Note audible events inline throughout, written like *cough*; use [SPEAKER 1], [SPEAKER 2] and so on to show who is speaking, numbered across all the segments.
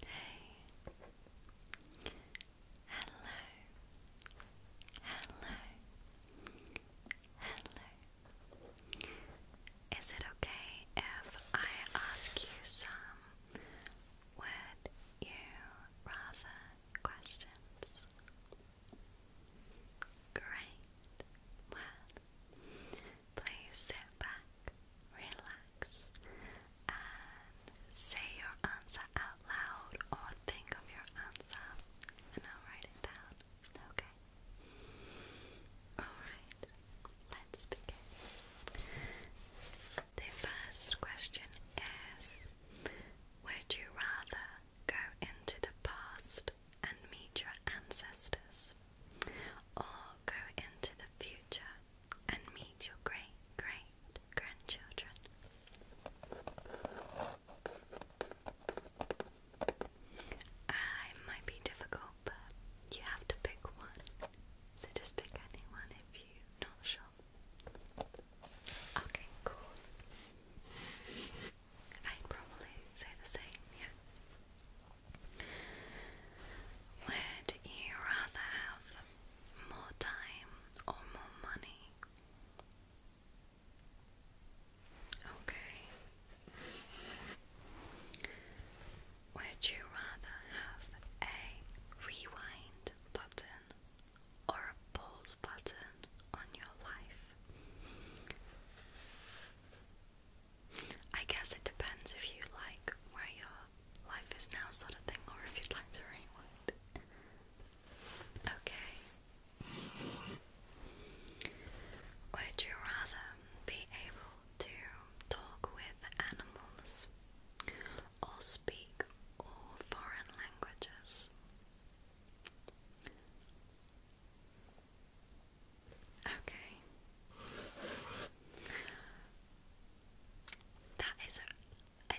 [SPEAKER 1] Hey. Hello. Hello. Hello. Is it okay if I ask you some would you rather questions? Great. Well, Please sit back, relax, and say your answer out loud or think of your answer and I'll write it down. Okay? Alright, let's begin. The first question is Would you rather go into the past and meet your ancestors or go into the future and meet your great great grandchildren. Ah, I might be difficult, but you have to pick one. So just pick anyone if you're not sure. Okay, cool. I'd probably say the same, yeah. Would you rather have more time or more money? Okay. Would you rather have a rewind button or a pause button on your life? I guess it depends if you like where your life is now, sort of thing, or if you'd like to rewind. Okay. Would you rather be able to talk with animals or speak all foreign languages? Okay. That is a,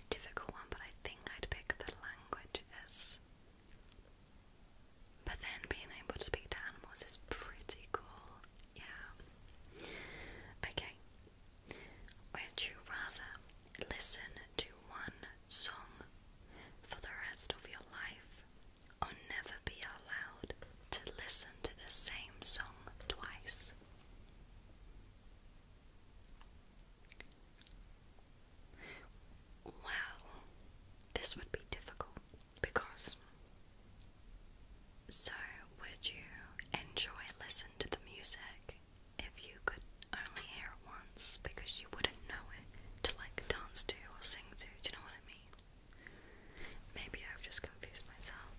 [SPEAKER 1] difficult one, but I think I'd pick the languages. But then being able to speak to animals is pretty cool. Yeah. Okay. Would you rather listen to one song for the rest of your life or never be allowed to listen to the same song twice. Well, this would be difficult because. So, would you enjoy listening to the music if you could only hear it once because you wouldn't know it to like dance to or sing to? Do you know what I mean? Maybe I've just confused myself,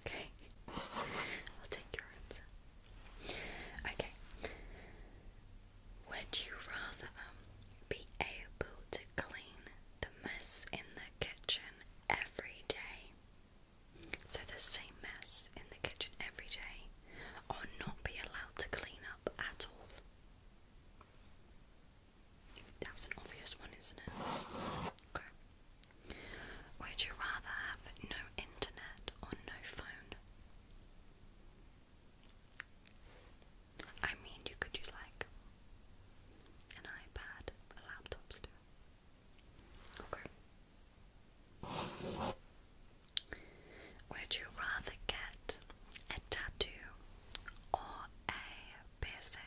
[SPEAKER 1] okay. *laughs* I'll take your answer. Okay. Would you rather um, be able to clean the mess in the kitchen every day? So the same mess in the kitchen every day, or not be allowed to clean up at all? That's an obvious one, isn't it? Okay. Would you rather have no internet or no phone? I mean, you could use like an iPad, a laptop still. Okay. Would you rather get a tattoo or a piercing?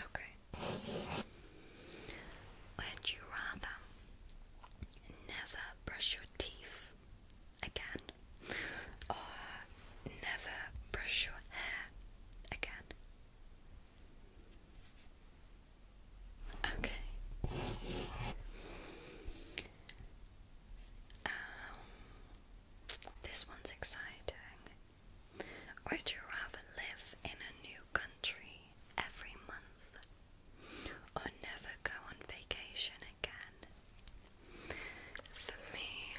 [SPEAKER 1] Okay. Would you rather never brush your teeth again or never brush your hair again? Okay. Um, this one's exciting. Would you rather live in a new country every month or never go on vacation again? For me,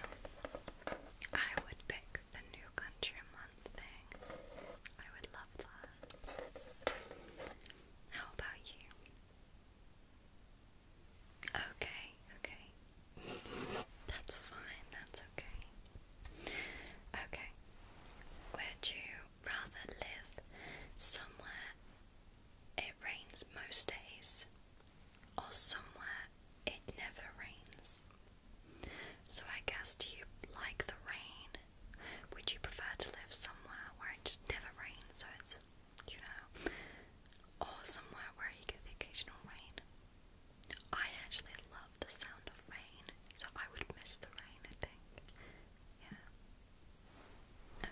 [SPEAKER 1] I would pick the new country a month thing. I would love that. How about you? Okay, okay. That's fine, that's okay. Okay. Would you rather live somewhere it rains most days or somewhere it never rains? So I guess do you like the rain would you prefer to live somewhere where it just never rains, so it's, you know, or somewhere where you get the occasional rain? I actually love the sound of rain, so I would miss the rain, I think. Yeah.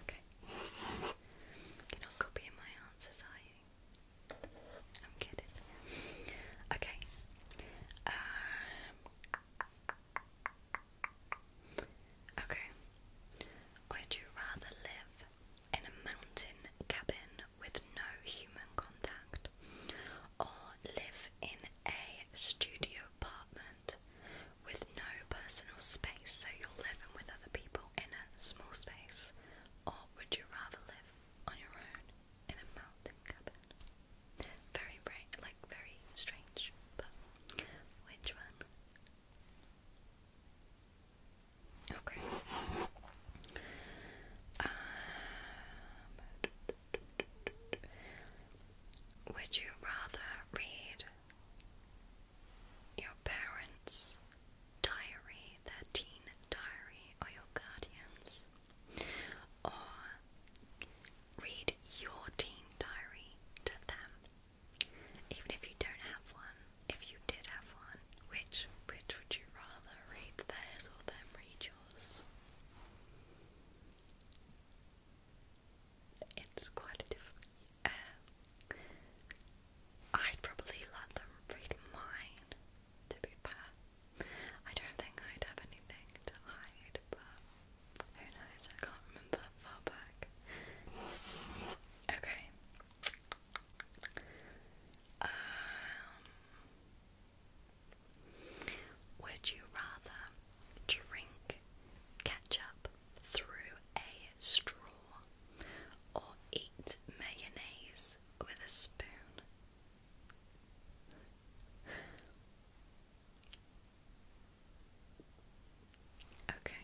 [SPEAKER 1] Okay. You're not my answers, I'm kidding. Okay. Um, Okay. Would you rather live in a mountain cabin with no human contact or live in a studio apartment with no personal space so you're living with other people in a small space? Or would you rather live on your own in a mountain cabin? Very, very, like, very strange. But which one? Okay. Um, would you rather read your parents' diary, their teen diary, or your guardian's, read your teen diary to them. Even if you don't have one, if you did have one, which which would you rather read theirs or them read yours? It's quite a different. Uh, I'd probably let them read mine. To be fair, I don't think I'd have anything to hide, but I can't remember far back. Okay. Um, would you rather drink ketchup through a straw or eat mayonnaise with a spoon? Okay.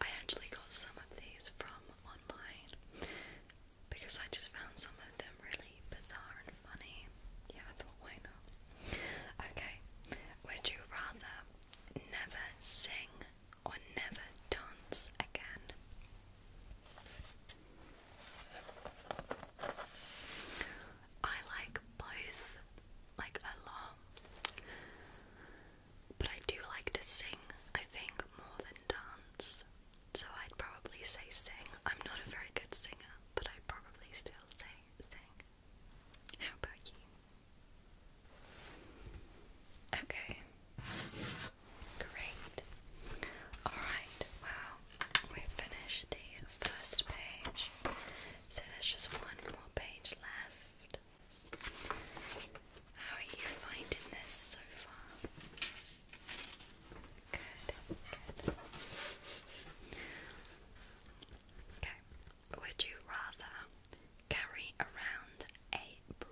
[SPEAKER 1] I actually got some of these from online because I just found some of them really bizarre and funny. Yeah, I thought, why not? Okay. Would you rather never sing or never dance again? I like both, like a lot. But I do like to sing, I think, more than dance. So I'd probably say sing. I'm not a very good singer, but I'd probably still say sing. How about you? Okay. Great. Alright, wow we finished the first page, so there's just one more page left. How are you finding this so far? Good, good. Okay, would you rather carry around a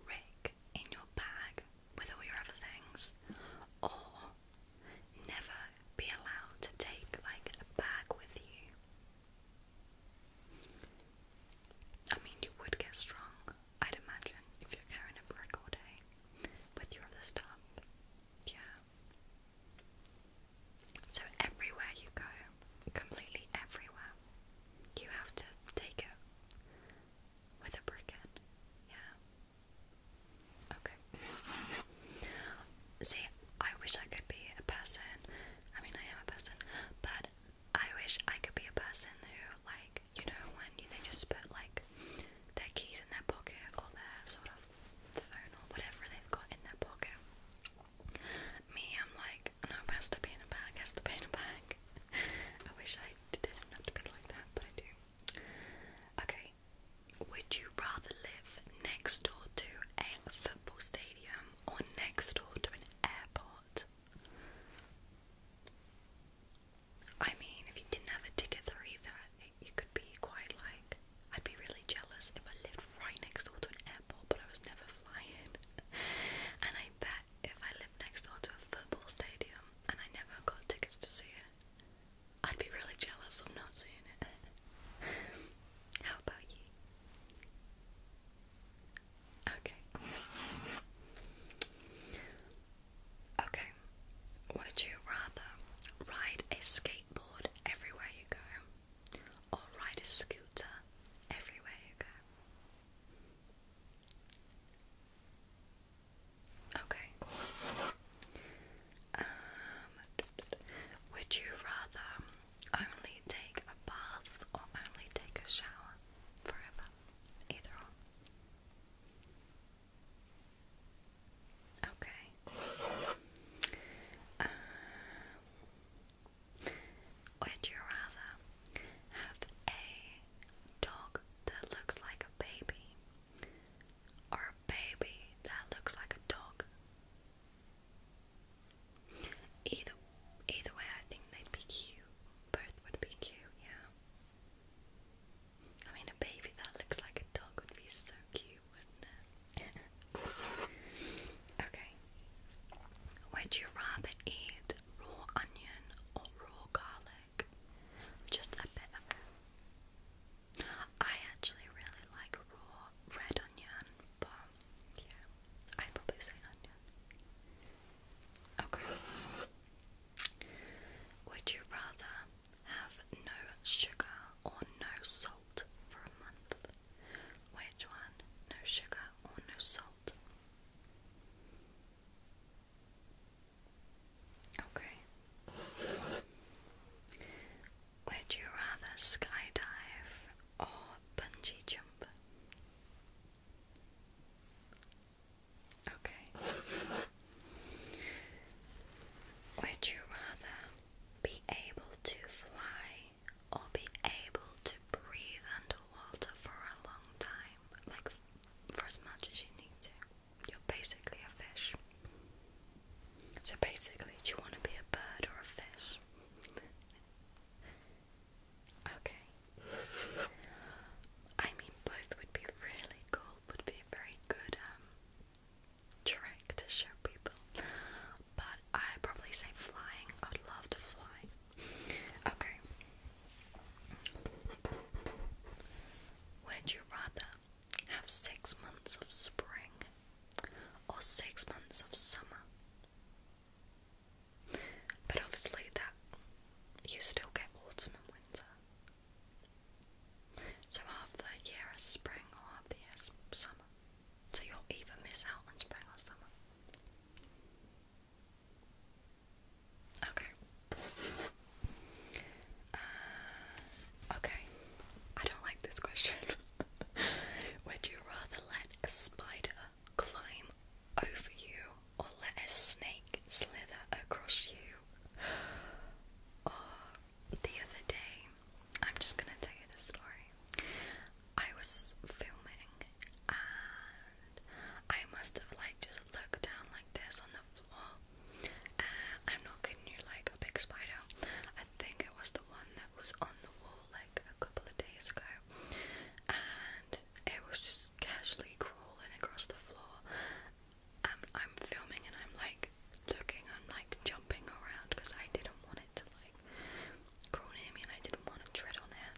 [SPEAKER 1] brick in your bag with all your other things or never be allowed to take like a bag with you. I mean, you would get strong, I'd imagine, if you're carrying a brick all day with your other stuff. Yeah. So, everywhere you go, completely everywhere, you have to take it with a brick in. Yeah. Okay. See, I wish I could be a person. I mean, I am a person, but I wish I could be a person who, like, you know, when they just put like their keys in their pocket or their sort of phone or whatever they've got in their pocket. Me, I'm like, no, has to be in a bag, has to be in a bag. *laughs* I wish I didn't have to be like that, but I do. Okay, would you rather live next door to a football stadium or next door to an airport? I mean, if you didn't have a ticket there either, it, you could be quite like. I'd be really jealous if I lived right next door to an airport, but I was never flying. *laughs* and I bet if I lived next door to a football stadium and I never got tickets to see it, I'd be really jealous of not seeing it. *laughs* How about you? Okay. okay. Would you rather ride a skateboard everywhere you go or ride a scooter everywhere you go? Okay. Um, would you rather only take a bath or only take a shower forever? Either or. Okay. Um, would you rather have a dog that looks like a baby or a baby that looks like a dog. Either either way, I think they'd be cute. Both would be cute, yeah. I mean, a baby that looks like a dog would be so cute, *laughs* okay. Would you rather eat raw onion or raw garlic? Just a bit I actually really like raw red onion, but yeah, I'd probably say onion. Okay. Would you rather have no sugar or no salt for a month? Which one? No sugar or no salt? Okay. Would you rather skydive or bungee jump? Okay. Would you rather be able to fly or be able to breathe underwater for a long time? Like for as much as you need to? You're basically a fish. So basically, do you want to be a bird or a fish? okay. I mean, both would be really cool, would be very good um, trick to show people. But I probably say flying. I would love to fly. Okay. Would you rather have six months of spring or six months of summer? But obviously, that you still get autumn and winter. So half the year is spring or half the year is summer. So you'll even miss out on spring or summer. Okay. Uh, okay. I don't like this question. *laughs* Would you rather let a spider climb over you or let a snake slither across you? Uh, the other day, I'm just gonna tell you the story. I was filming I must have like just looked down like this on the floor. Uh, I'm not you, like a big spider. I think it was the one that was on the wall like a couple of days ago, and it was just casually crawling across the floor. And I'm filming and I'm like looking, I'm like jumping around because I didn't want it to like crawl near me and I didn't want to tread on it.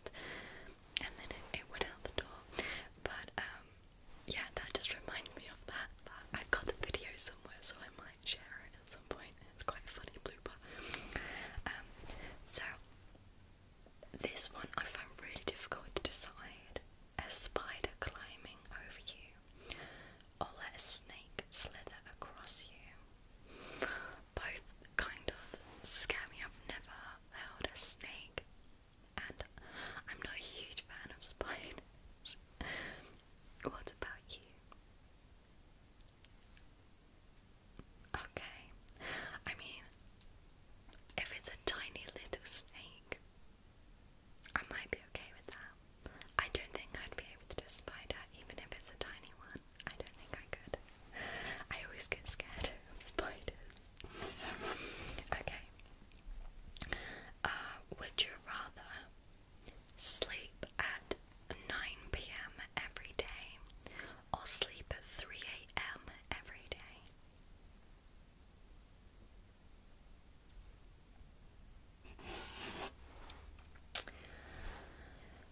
[SPEAKER 1] And then it, it out the door, but um yeah, that just reminds me of that. I've got the video somewhere, so I might share it at some point. It's quite a funny blooper. Um, so this one I found really difficult to decide. A spider climbing over you, or let a snake slither across you. Both kind of scare me. I've never held a snake and I'm not a huge fan of spiders. *laughs* what about you? Okay, I mean, if it's a tiny little snake, I might be okay with that. I don't think I'd be able to do spider, even if it's a tiny one. I don't think I could. I always get scared spiders. *laughs* okay. Uh, would you rather sleep at 9 pm every day or sleep at 3 am every day?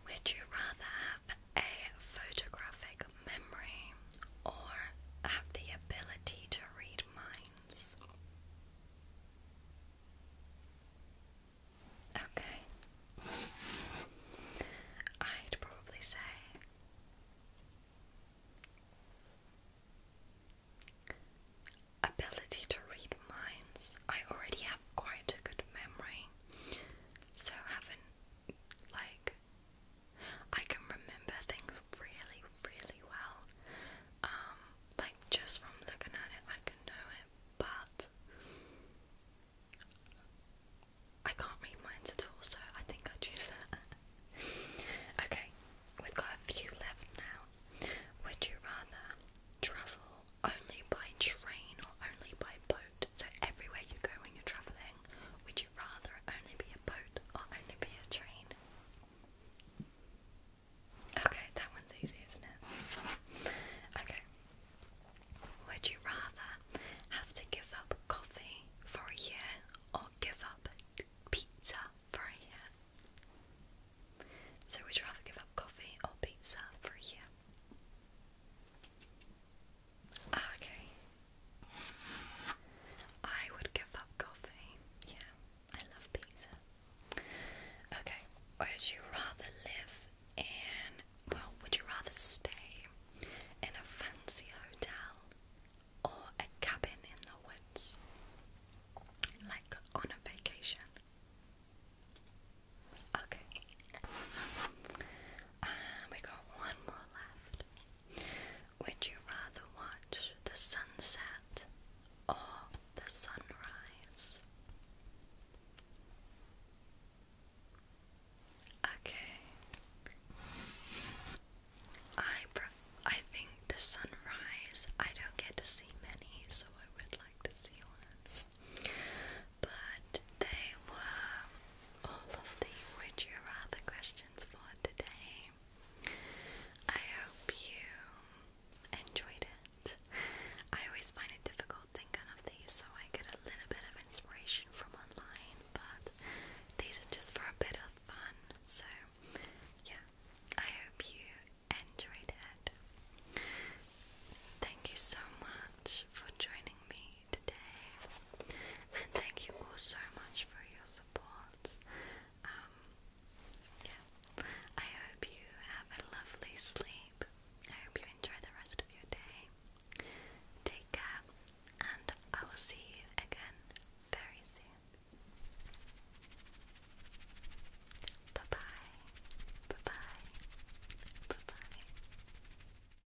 [SPEAKER 1] Would you rather have a photographic memory or have the ability to read minds. Okay. I'd probably say ability to read minds. I already have quite a good memory, so having like I can remember things really, really well. Um, like just from looking at it, I can know it, but I can't read minds at all, so I think I choose that. *laughs* okay, we've got a few left now. Would you rather travel only by train or only by boat? So everywhere you go when you're traveling, would you rather only be a boat or only be a train? Okay, that one's easy, isn't it? Okay. Would you rather have to give up coffee for a year or give up pizza for a year? So, would you rather give up coffee or pizza for a year? Ah, okay. I would give up coffee. Yeah, I love pizza. Okay, would you rather live in, well, would you rather stay in a fancy hotel or a cabin in the woods? Like on a vacation? Okay. Um, we got one more left. Would you rather watch the sunset or the sunrise? Okay. I I think the sunrise. I don't get to see many, so I would like to see one. But they were all of the Would You Rather questions for today. I hope you enjoyed it. I always find it difficult thinking of these, so I get a little bit of inspiration from online, but these are just for a bit of fun. So, yeah, I hope you enjoyed it. Thank you so much for joining me today. And thank you all so much for your support. Um, I hope you have a lovely sleep. I hope you enjoy the rest of your day. Take care, and I will see you again very soon. Bye bye. Bye bye. Bye bye.